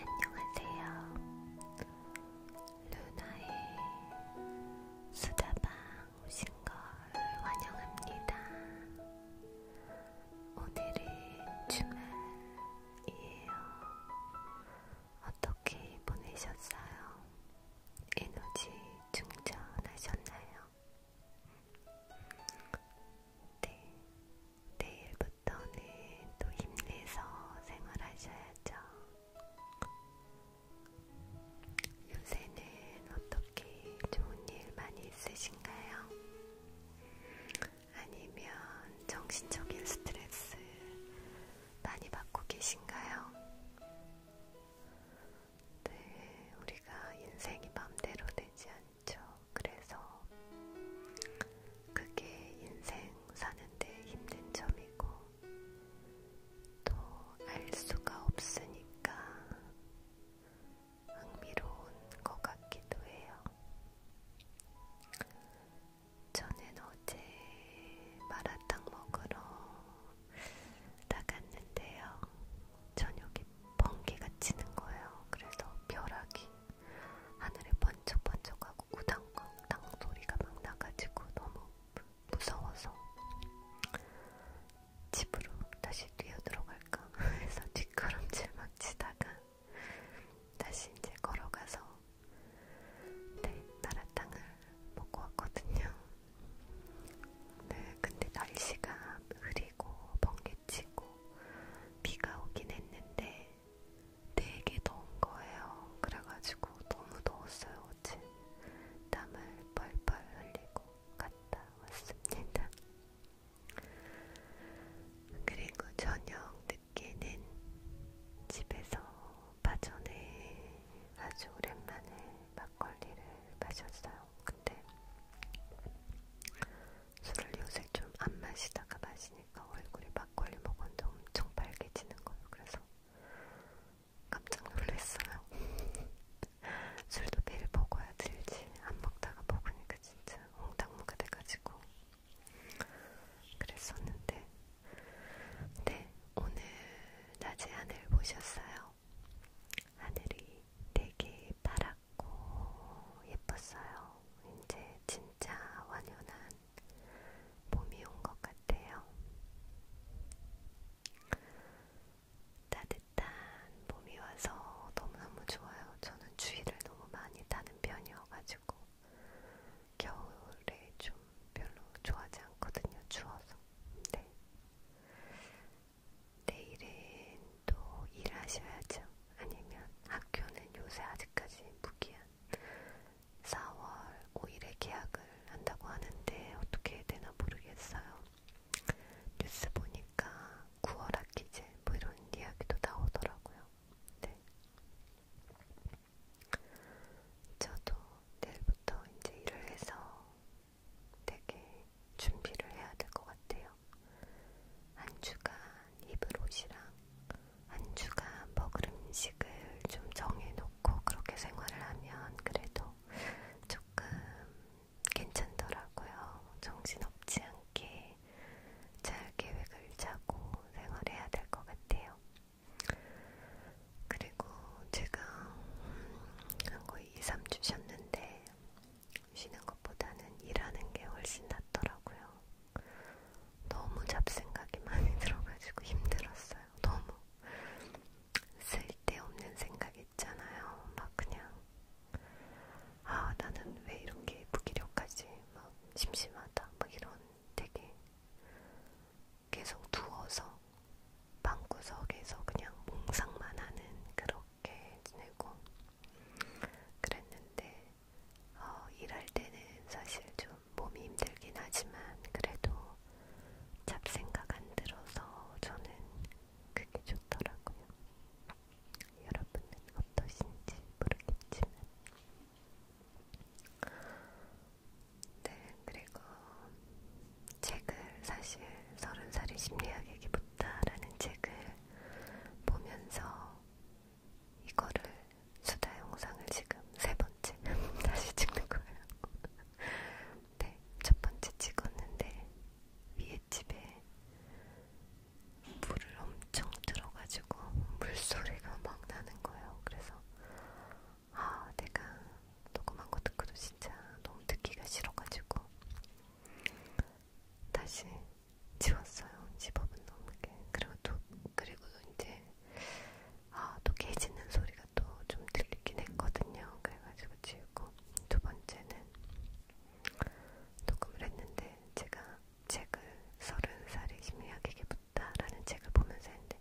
안녕하세요. 루나의 수다방 오신 걸 환영합니다. 오늘은 주말이에요. 어떤 어떻게 보내셨어요? 에너지 충전하셨나요? 네, 내일부터는 또 힘내서 생활하셔야죠. 요새는 어떻게 좋은 일 많이 있으신가요? 아니면 정신적인 스트레스 많이 받고 계신가요? 네, 우리가 인생이 맘대로 되지 않죠. 그래서 그게 인생 사는데 힘든 점이고, 또 알 수가 없으니까 흥미로운 것 같기도 해요. 저는 어제 마라탕 먹으러 나갔는데요. 저녁에 번개가 치는 거예요. 그래서 벼락이 하늘에 번쩍번쩍하고 우당탕 소리가 막 나가지고 너무 무서워서 집으로 다시 뛰어 들어갈까 해서 뒷걸음질 막 치다가 다시 이제 걸어가서 네, 나라탕을 먹고 왔거든요. 네, 근데 날씨가 흐리고 번개치고 비가 오긴 했는데 되게 더운 거예요. 그래가지고 너무 더웠어요. 어제 땀을 뻘뻘 흘리고 갔다 왔습니다. 그리고 저녁 늦게는 집에서 파전에 네. 아주 오랜만에 막걸리를 마셨어요. 근데 술을 요새 좀 안 마시다가 마시니까 얼굴이 막걸리 먹었는데 엄청 빨개지는 거예요. 그래서 깜짝 놀랐어요. 술도 매일 먹어야 들지. 안 먹다가 먹으니까 진짜 엉당무가 돼가지고 그랬었는데 네, 오늘 낮에 하늘 보셨어요? 하늘이 되게 파랗고 예뻤어요. 이제 진짜 완연한 봄이 온 것 같아요. 따뜻한 봄이 와서 너무너무 좋아요. 저는 추위를 너무 많이 타는 편이어가지고 겨울에 좀 별로 좋아하지 않거든요. 추워서. 네. 내일은 또 일하셔야죠. 아니면 학교는 요새 아직까지 무기한 4월 5일에 계약을 한다고 하는데 어떻게 해야 되나 모르겠어요. 뉴스 보니까 9월 학기제 뭐 이런 이야기도 나오더라고요. 네. 저도 내일부터 이제 일을 해서 되게 준비를 해야 될 것 같아요. 한 주간 입을 옷이랑 한 주간 먹을 음식을 좀 정해놓고 그렇게 생활을 하면 그래도 조금 괜찮더라고요. 정신없지 않게 잘 계획을 짜고 생활해야 될 것 같아요. 그리고 제가 한 거의 2, 3주 쉬었는데 쉬는 것보다는 일하는 게 훨씬 낫더라고요. 너무 잡생각이 많이 들어가지고 힘들었어요. 너무 쓸데없는 생각 있잖아요. 막 그냥 아 나는 왜 이렇게 무기력하지? 막 심심하다. 막 이런 되게 계속 누워서 방구석에서 그냥 몽상만 하는 그렇게 지내고 그랬는데 어, 일할 때는 사실 좀 몸이 힘들긴 하지만 그래도 잡생각 안 들어서 저는 그게 좋더라고요. 여러분은 어떠신지 모르겠지만 네, 그리고 책을 사실 서른 살이 심리학의 기부다라는 책을 보면서 이거를 수다 영상을 지금 세 번째 다시 찍는 거예요. 네, 첫 번째 찍었는데 위에 집에 물을 엄청 들어가지고 물소리가 막 나는 거예요. 그래서 아, 내가 녹음한 거 듣고도 진짜 너무 듣기가 싫어가지고 다시 지웠어요. 10억은 넘게. 그리고 또, 그리고 이제, 아, 또 깨지는 소리가 또 좀 들리긴 했거든요. 그래가지고 지우고, 두 번째는 녹음을 했는데, 제가 책을 서른 살의 심리학에게 붙다라는 책을 보면서 했는데,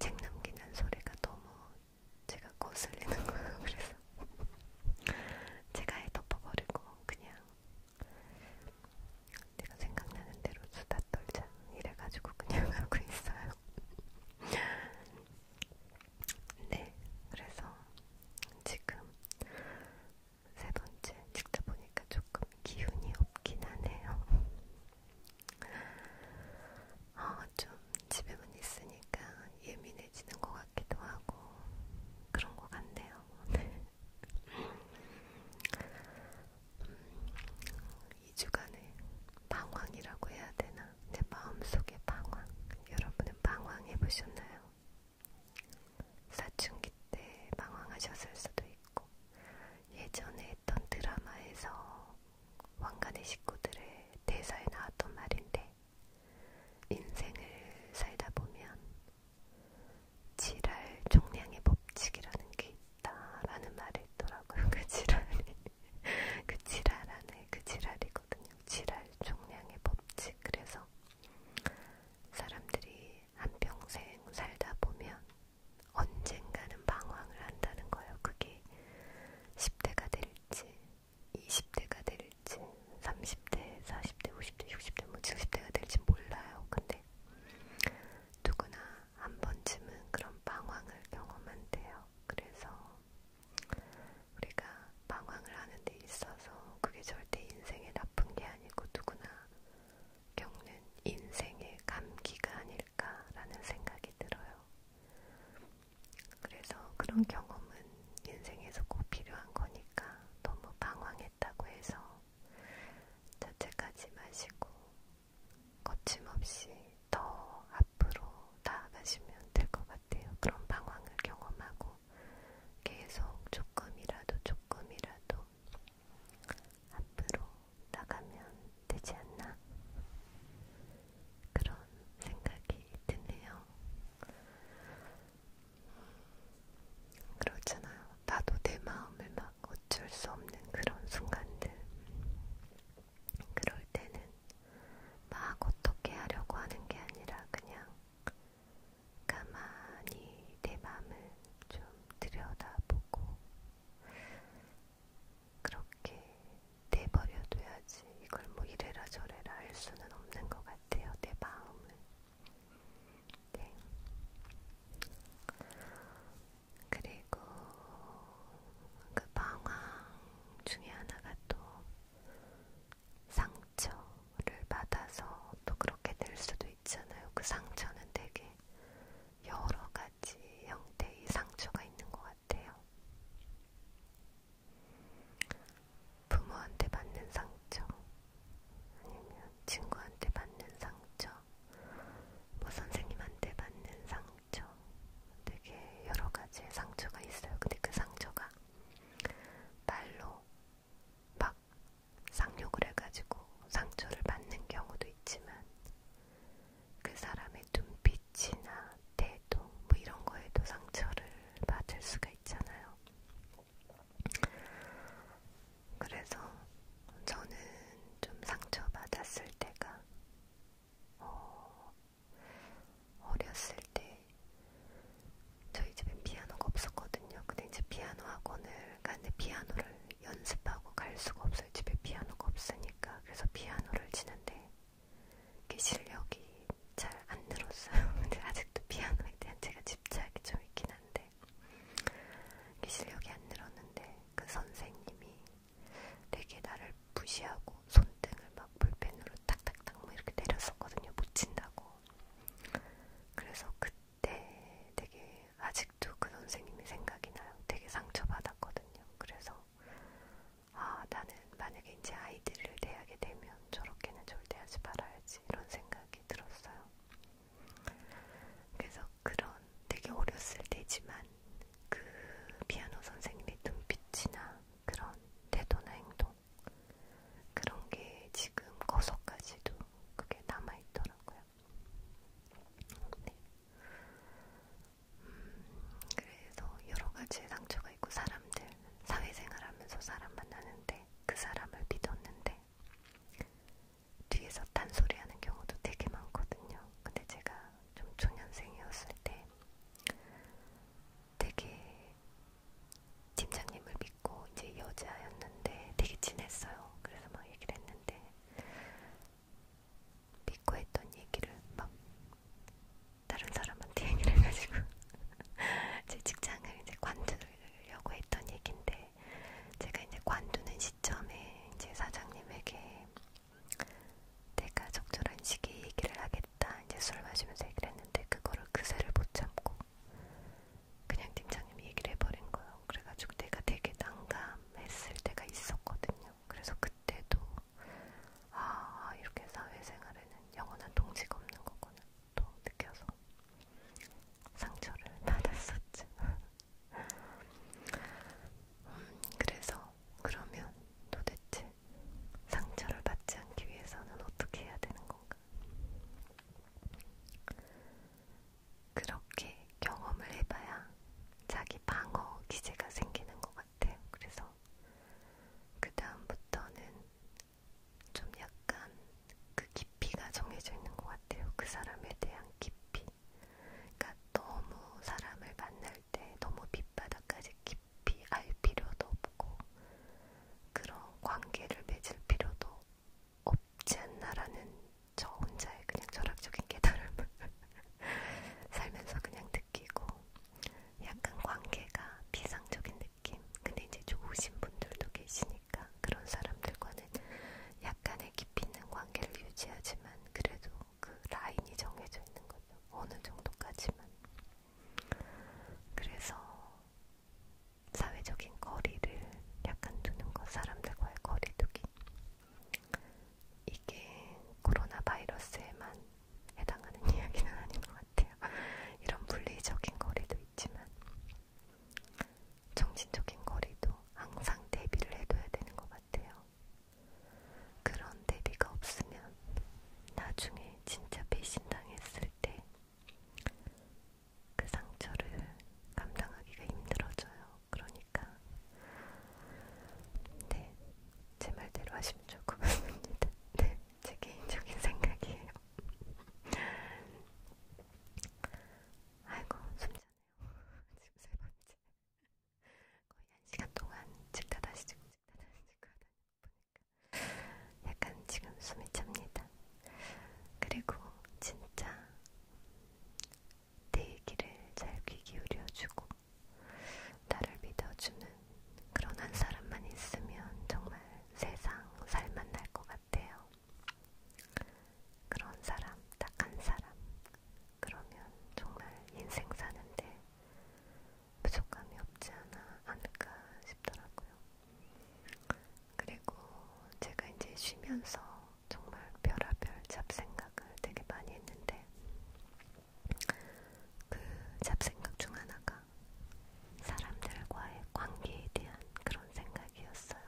책 남기는 소리가 너무 제가 거슬리는 거예요. 그래서 제가 해 덮어버리고 그냥 내가 생각나는 대로 수다 떨자 이래가지고 그냥 하고 있어요. 네, 그래서 지금 세 번째 찍다 보니까 조금 기운이 없긴 하네요. 어, 좀 집에만 있으니까 예민해지는 것 같기도 하고 그런 것 같네요. 음, 2주간의 방황이라고 해야 되나? 내 마음속의 방황. 여러분은 방황해보셨나요? 사춘기 때 방황하셨을 수도 있고 예전에 했던 드라마에서 왕관의 식구들의 대사에 나왔던 말인데 인생을 살다 보면 지랄 종량의 법칙이라는 게 있다라는 말이 있더라고요. 그 지랄이 그 지랄 안에 그 지랄이거든요. 지랄 종량의 법칙. 그래서 사람들이 한평생 살다 보면 언젠가는 방황을 한다는 거예요. 그게 10대가 될 될지 20대가 될지 30대, 40대, 50대, 60대, 뭐 70대가 될지 몰라요. 근데 누구나 한 번쯤은 그런 방황을 경험한대요. 그래서 우리가 방황을 하는 데 있어서 그게 절대 인생에 나쁜 게 아니고 누구나 겪는 인생의 감기가 아닐까라는 생각이 들어요. 그래서 그런 경험은 인생에서 꼭 필요한 거니까 너무 방황했다고 해서 자책하지 마시고 거침없이 더 앞으로 나아가시면 될 것 같아요. 그런 방황을 경험하고 계속 조금이라도 조금이라도 앞으로 나가면 되지 않나? 그런 생각이 드네요. 그렇잖아요. 나도 내 마음을 막 어쩔 수 없는 그런 순간들. 그럴 때는 막 어떻게 하려고 하는 게 아니라 그냥 가만히 내 마음을 좀 들여다보고 그렇게 내버려둬야지 이걸 뭐 이래라 저래라 할 수는 없는 것 같아요. 내 마음을. 네. 그리고 그 방황 중에 하나가 또 상처를 받아서 또 그렇게 될 수도 있잖아요. 그 상처는 되게 여러 가지 형태의 상처가 있는 것 같아요. 부모한테 받는 상처, 아니면 친구한테 받는 상처, 뭐 선생님한테 받는 상처, 되게 여러 가지의 상처가 있어요. 근데 그 상처가 말로 막 상욕을 해가지고 상처를 받는 경우도 있지만 그 사람의 눈빛이나 태도 뭐 이런 거에도 상처를 받을 수가 있잖아요. 그래서 저는 좀 상처받았을 때가 어, 어렸을 때 저희 집에 피아노가 없었거든요. 근데 이제 피아노 학원을 갔는데 피아노를 연습하고 갈 수가 없어요. 집에 피아노가 없으니까. 그래서 피아노를 치는데 그 실력이 잘안 늘었어요. 근데 아직도 피아노에 대한 제가 집착이 좀 있긴 한데 그 실력이 안 늘었는데 그 선생님이 되게 나를 무시하고 손등을 막 볼펜으로 탁탁탁 뭐 이렇게 때렸었거든요. 못 친다고. 그래서 그때 되게 아직도 그 선생님이 생각이 나요. 되게 상처받았거든요. 그래서 아, 나는 만약에 이제 아이들을 대하게 되면 저렇게는 절대 하지 말아야지 이런 생각이 들었어요. 그래서 그런 되게 어렸을 때지만 그 피아노 선생님의 눈빛이나 그런 태도나 행동 그런 게 지금 거서까지도 그게 남아있더라고요. 네. 그래서 여러 가지 상처가 있고 사람들 사회생활하면서 사람 만나는데 그 사람을 믿었는데 뒤에서 딴소리하는 경우도 되게 많거든요. 근데 제가 좀 초년생이었을 때 되게 팀장님을 믿고 이제 여자였는데 되게 친했어요. 그래서 막 얘기를 했는데 믿고 했던 얘기를 막 다른 사람한테 얘기를 해가지고 제 직장을 이제 관두려고 했던 얘긴데 제가 이제 관두는 시점에 이제 사장님에게 내가 적절한 시기에 얘기를 하겠다 이제 술 마시면서 얘기를 했는데 그거를 그새를 못 참고 그냥 팀장님이 얘기를 해버린 거예요. 그래가지고 내가 되게 난감했을 때가 있었거든요. 그래서 그때도 아, 이렇게 사회생활에는 영원한 동지가 없는 거구나. 또 느껴서 상처를 받았었죠. 음, 그래서 그러면 도대체 상처를 받지 않기 위해서는 어떻게 해야 되는 건가? 그렇게 경험을 해봐야 자기 방어 기제가 생기는 것 같아요. 같아요. 그래서 그 다음부터는 좀 약간 그 깊이가 정해져 있는 것 같아요. 그 사람에 대한 깊이. 그러니까 너무 사람을 만날 때 너무 밑바닥까지 깊이 알 필요도 없고 그런 관계를 맺을 필요도 없지 않나라는 저 혼자의 그냥 철학적인 깨달음을 살면서 그냥 느끼고 약간 관계가 비상적인 느낌. 근데 이제 좋으신 분들도 계시니까 그런 사람들과는 약간의 깊이 있는 관계를 유지하지만 그래도 그 라인이 정해져 있는 거죠. 어느 정도까지만. 그래서 사회적인 거리를 약간 두는 것, 사람들과의 거리두기. 이게 코로나 바이러스에만 해당하는 이야기는 아닌 것 같아요. 이런 물리적인 거리도 있지만 정신적인 거리도 항상 대비를 해둬야 되는 것 같아요. 그런 대비가 없으면 나중에 진짜 배신당했을 때 그 상처를 감당하기가 힘들어져요. 그러니까 네, 제 말대로 하시면 좋을 것 같습니다. 네. 제 개인적인 생각이에요. 아이고 숨차네요. 지금 세 번째. 거의 한 시간 동안 찍다 다시 찍고 찍다 다시 찍고 하다 보니까 약간 지금 숨이 찹니다. 그리고 진짜 내 얘기를 잘 귀 기울여주고 나를 믿어주는 그런 한 사람만 있으면 정말 세상 살만 날 것 같아요. 그런 사람, 딱 한 사람. 그러면 정말 인생 사는데 부족함이 없지 않아 않을까 싶더라고요. 그리고 제가 이제 쉬면서 정말 별아별 잡생각을 되게 많이 했는데 그 잡생각 중 하나가 사람들과의 관계에 대한 그런 생각이었어요.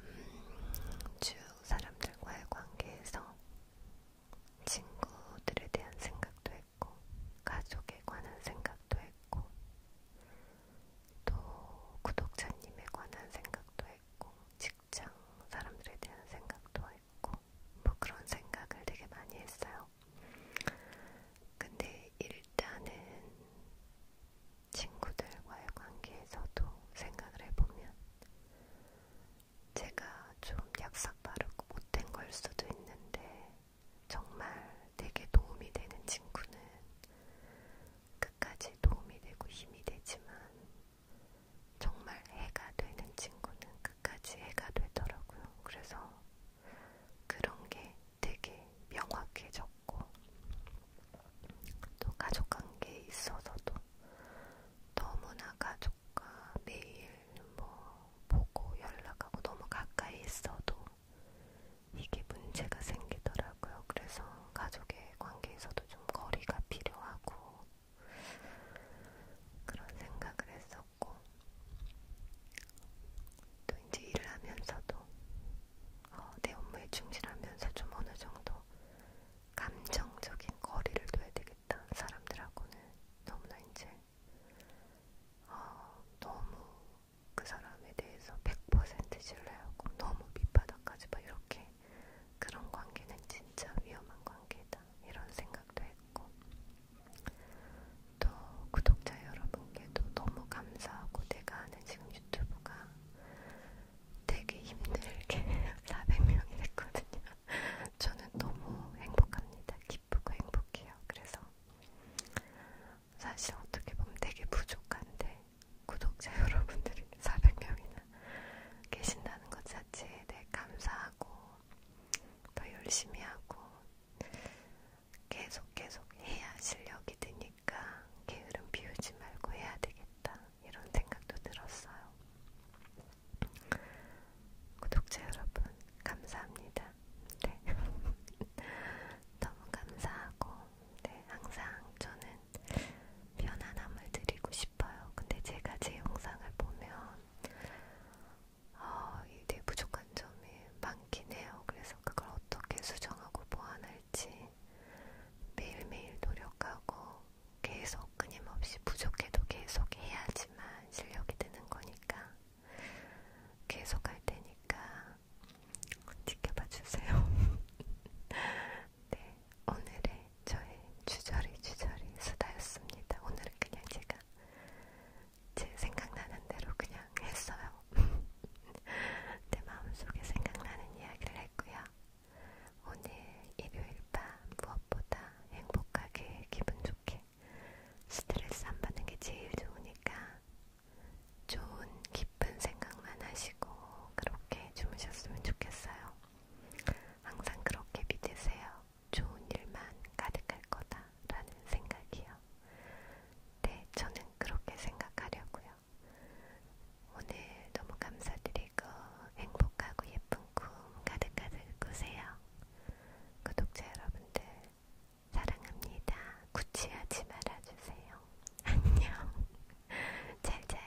음, 쭉 사람들과의 관계에서 친구들에 대한 생각도 했고, 가족에 관한 생각도 했고, 또 구독자님에 관한 생각도 했고, 직장 사람들에 대한 생각도 있고 뭐 그런 생각을 되게 많이 했어요. 근데 일단은 친구들과의 관계에서도 생각을 해보면 제가 좀 약삭 빠르고 못된 걸 수도 있는데 정말 되게 도움이 되는 친구는 끝까지 도움이 되고 힘이 되지만 정말 해가 되는 친구는 끝까지 해가 되더라고요. 그래서 그런 게 되게 명확해졌고 또 가족 관계에 있어서도 너무나 가족과 매일 뭐 보고 연락하고 너무 가까이 있어도 이게 문제가 생기더라고요. 그래서 가족의 관계에서도 좀 거리가 필요하고 그런 생각을 했었고 같고 또 이제 일을 하면서도 어, 내 업무에 충실하면서 좀 어느 정도 감정적인 거리를 둬야 되겠다. 사람들하고는 너무나 이제 어, 너무 그 사람에 대해서 100% 신뢰하고 너무 밑바닥까지 막 이렇게 그런 관계는 진짜 위험한 관계다. 좋겠다 이런 생각도 했고 또 구독자 여러분께도 너무 감사하고 내가 하는 지금 유튜브가 되게 힘들게 400명이 됐거든요. 저는 너무 행복합니다. 기쁘고 행복해요. 그래서 사실 어떻게 보면 되게 부족한데 구독자 여러분들이 400명이나 계신다는 것 자체에 대해 감사하고 더 열심히 하고 계속 계속 해야 실력이 드니까 게으름 비우지 말고 해야 되겠다 이런 생각도 들었어요. 구독자 여러분 감사합니다. 네. 너무 감사하고 네, 항상 저는 편안함을 드리고 싶어요. 근데 제가 제 영상을 보면 어, 아, 이게 부족한 점이 많긴 해요. 그래서 그걸 어떻게 수정하고 보완할지 매일매일 노력하고 계속 끊임없이 부족해도 계속 해야지만 실력이 드는 거니까 계속 할 테니까 지켜봐 주세요. 네, 오늘의 저의 주저리 주저리 수다였습니다. 오늘은 그냥 제가 제 생각나는 대로 그냥 했어요. 내 마음속에 생각나는 이야기를 했고요. 오늘 일요일 밤 무엇보다 행복하게 기분 좋게 스트레스 안 받는 게 제일 좋으니까 좋은 기쁜 생각만 하시고 그렇게 주무셨으면 좋겠어요. 항상 그렇게 믿으세요. 좋은 일만 가득할 거다라는 생각이요. 네, 저는 그렇게 생각하려고요. 오늘 너무 감사드리고 행복하고 예쁜 꿈 가득가득 꾸세요. 구독자 여러분들 사랑합니다. 구취하지 말아주세요. 안녕. 잘 자요.